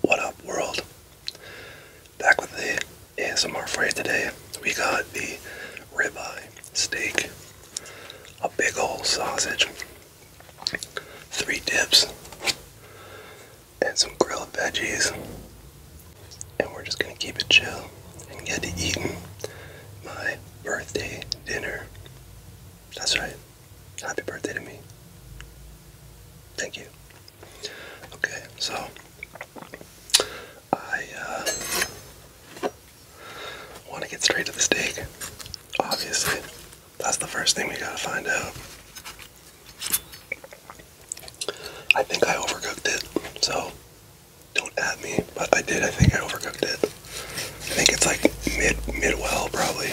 What up, world? Back with the ASMR for you today. We got the ribeye steak, a big old sausage, three dips, and some grilled veggies. And we're just gonna keep it chill and get to eating my birthday dinner. That's right. Happy birthday to me. Thank you. Okay, so I uh, want to get straight to the steak. Obviously, that's the first thing we gotta find out. I think I overcooked it, so don't at me, but I did. I think I overcooked it. I think it's like mid mid well probably.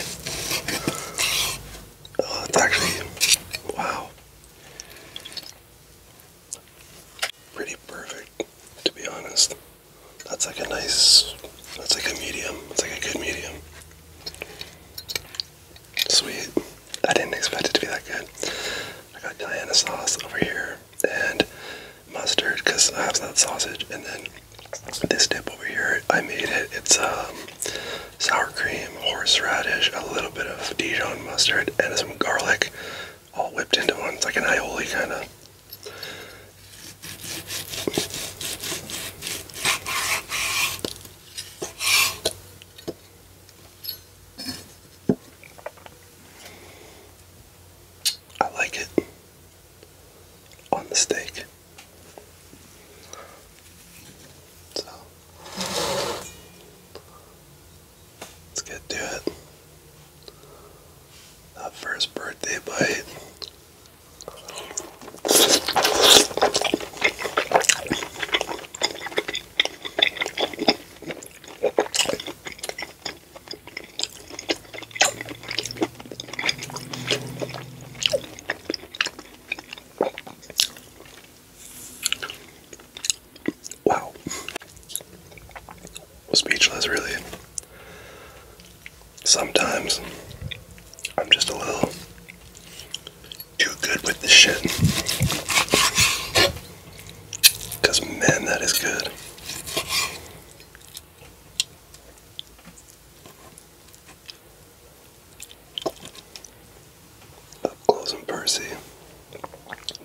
Oh, it's actually, wow. Pretty perfect, to be honest. That's like a nice, that's like a medium. that's like a good medium. Sweet. I didn't expect it to be that good. I got Diana sauce over here and mustard because I have some sausage and then this dip over here, I made it. It's a. Um, sour cream, horseradish, a little bit of Dijon mustard, and some garlic all whipped into one. It's like an aioli kind of. I like it on the steak. So let's get to it. That first birthday bite. Wow. Speechless, really. Sometimes I'm just a little too good with this shit. Because, man, that is good. Up close and Percy.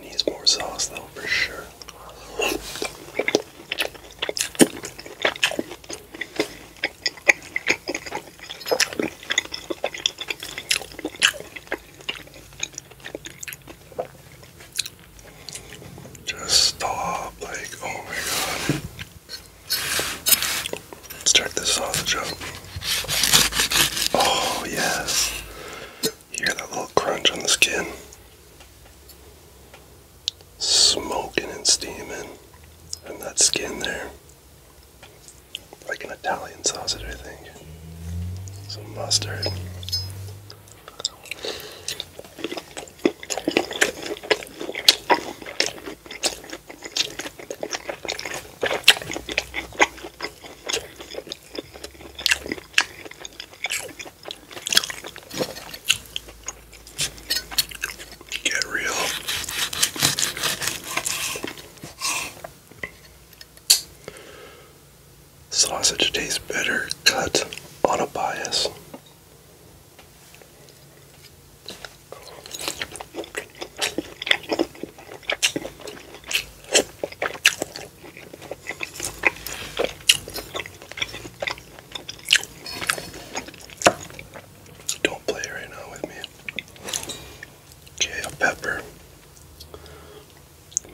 Needs more sauce though for sure. Just stop, like, oh my god. Let's check this sausage out. Oh, yes. hear that little crunch on the skin? Smoking and steaming. And that skin there. Like an Italian sausage, I think. Some mustard. Get real. Sausage tastes better cut on a bias. Don't play right now with me. Okay, pepper,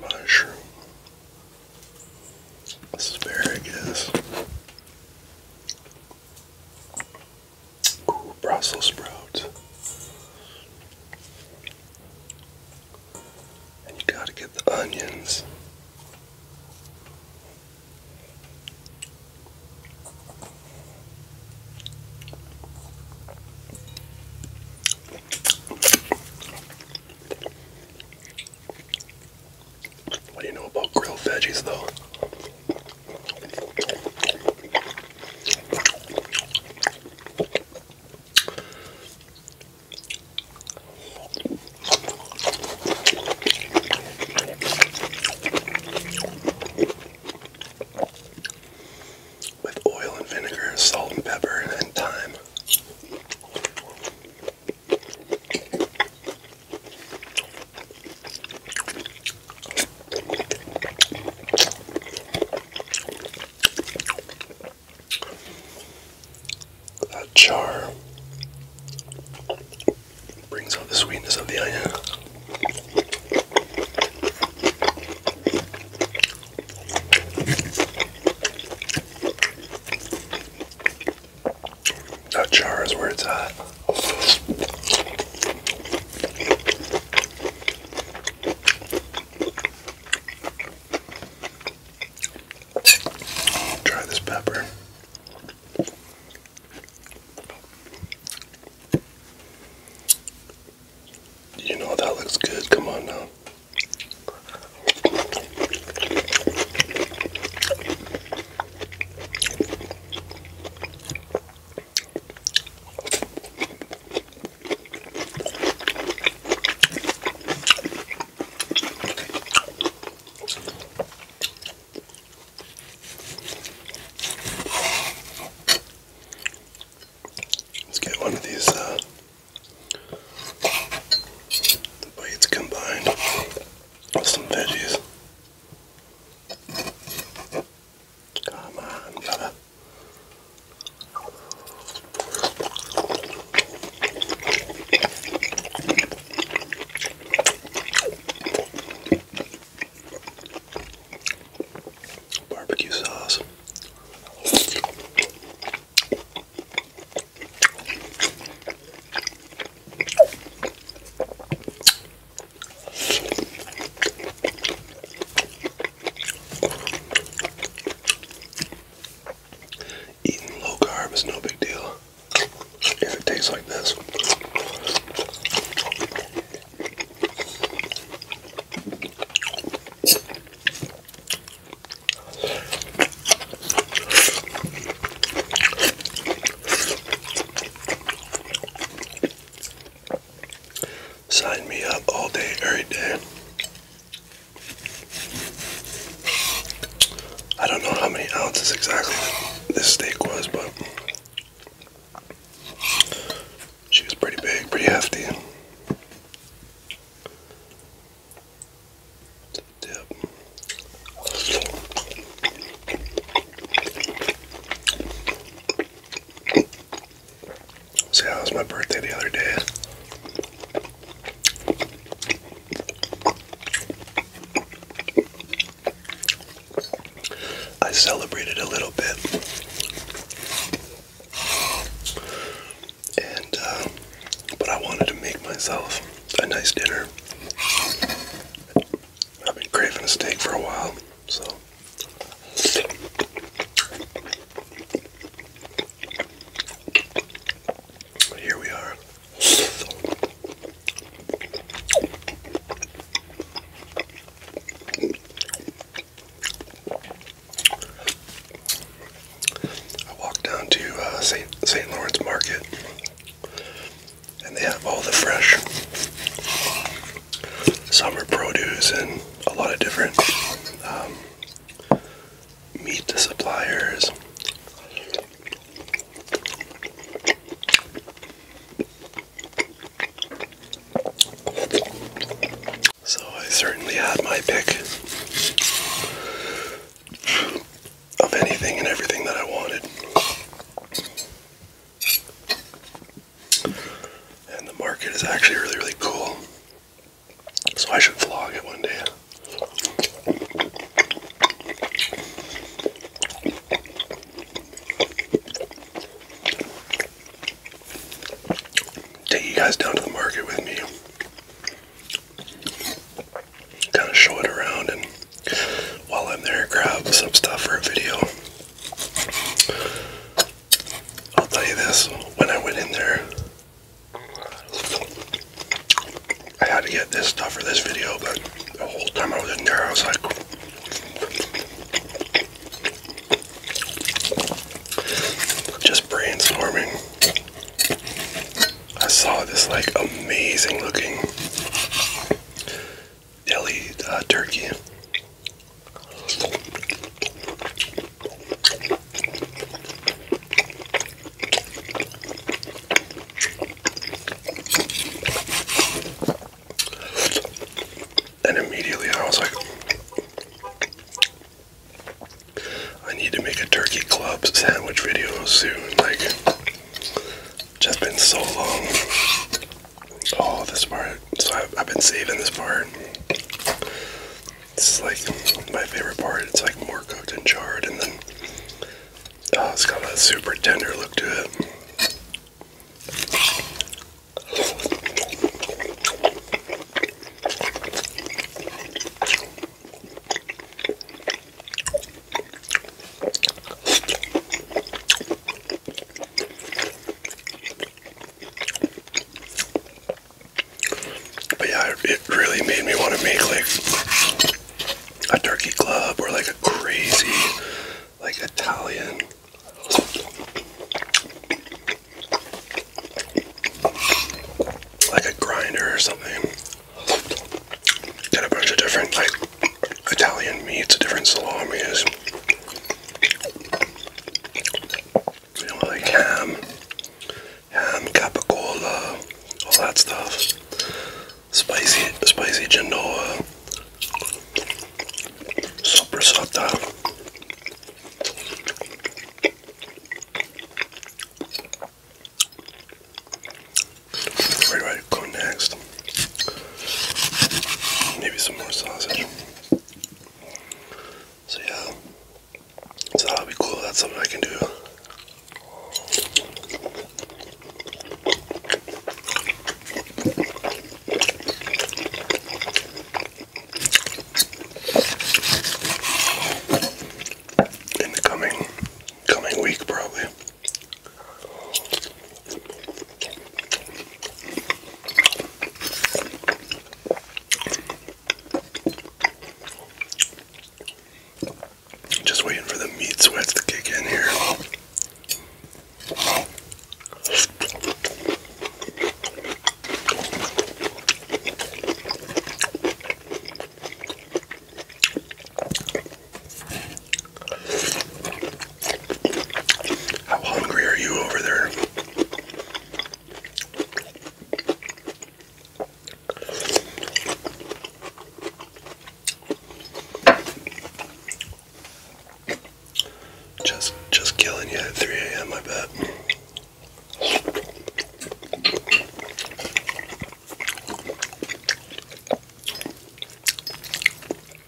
mushroom, asparagus. Brussels sprouts. you gotta get the onions. What do you know about grilled veggies, though? With oil and vinegar, salt and pepper, and thyme. That char brings out the sweetness of the onion. That char is where it's at try this pepper. You know that looks good. Come on now. Let's get one of these bites uh, combined with some veggies. Come on, brother. Barbecue sauce. Eating low carb is no big deal if it tastes like this. Signed me up all day, every day. I don't know how many ounces exactly this steak was, but she was pretty big, pretty hefty. Dip. See, yeah, it was my birthday the other day. I celebrated a little bit. And uh, but I wanted to make myself a nice dinner. I've been craving a steak for a while. So here we are. I walked down to uh, St. St. Lawrence Market, and they have all the fresh summer produce and a lot of different um, meat suppliers. So I certainly had my pick of anything and everything that I wanted. And the market is actually really, really cool. So I should vlog it one day. Take you guys down to the market with me. Kind of show it around, and while I'm there, grab some stuff for a video. I'll tell you this, when I went in there, I had to get this stuff for this video, but the whole time I was in there, I was like, just brainstorming. I saw this like amazing looking deli uh, turkey. And immediately I was like, I need to make a turkey club sandwich video soon. Like, it's just been so long Oh, this part. So I've, been saving this part. It's like my favorite part. It's like more cooked and charred, and then oh, it's got a super tender look to it. But yeah, it really made me want to make like a turkey club or like a crazy like Italian. Like a grinder or something. Got a bunch of different like Italian meats, different salamis, you like ham, ham capicola, all that stuff. Spicy, spicy Genoa, sopressata. Where do I go next? Maybe some more sausage. So yeah. that'll be cool. That's something I can do. In the coming coming week probably. Just waiting for the meat sweats to kick in here. How hungry are you over there? Just just killing you at 3 a.m. I bet.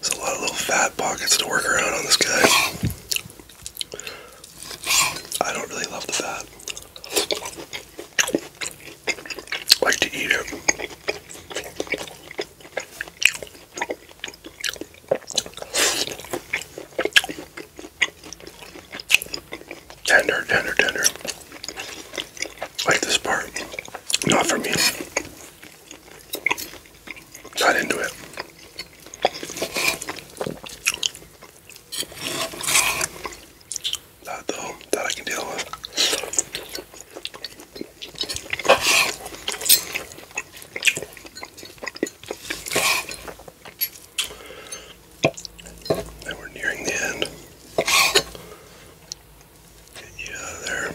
There's a lot of little fat pockets to work around on this guy. I don't really love the fat. I like to eat it. Tender, tender, tender. Like this part. Not for me. Got into it. That though, that I can deal with. And we're nearing the end. Get there.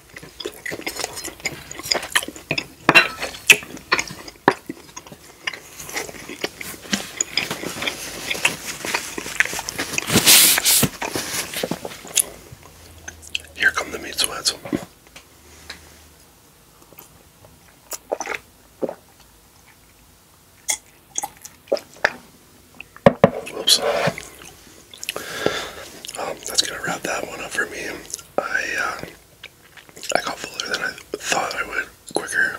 Here come the meat sweats. Whoops. Um, that's gonna wrap that one up for me. I uh, I got fuller than I thought I would quicker,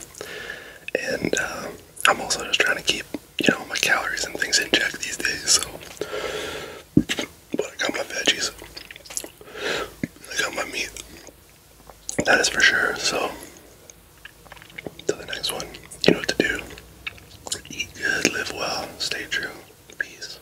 and uh, I'm also just trying to keep you know my calories and things in check these days. So, but I got my veggies, I got my meat. That is for sure. So, to the next one, you know what to do. Eat good, live well, stay true. Peace.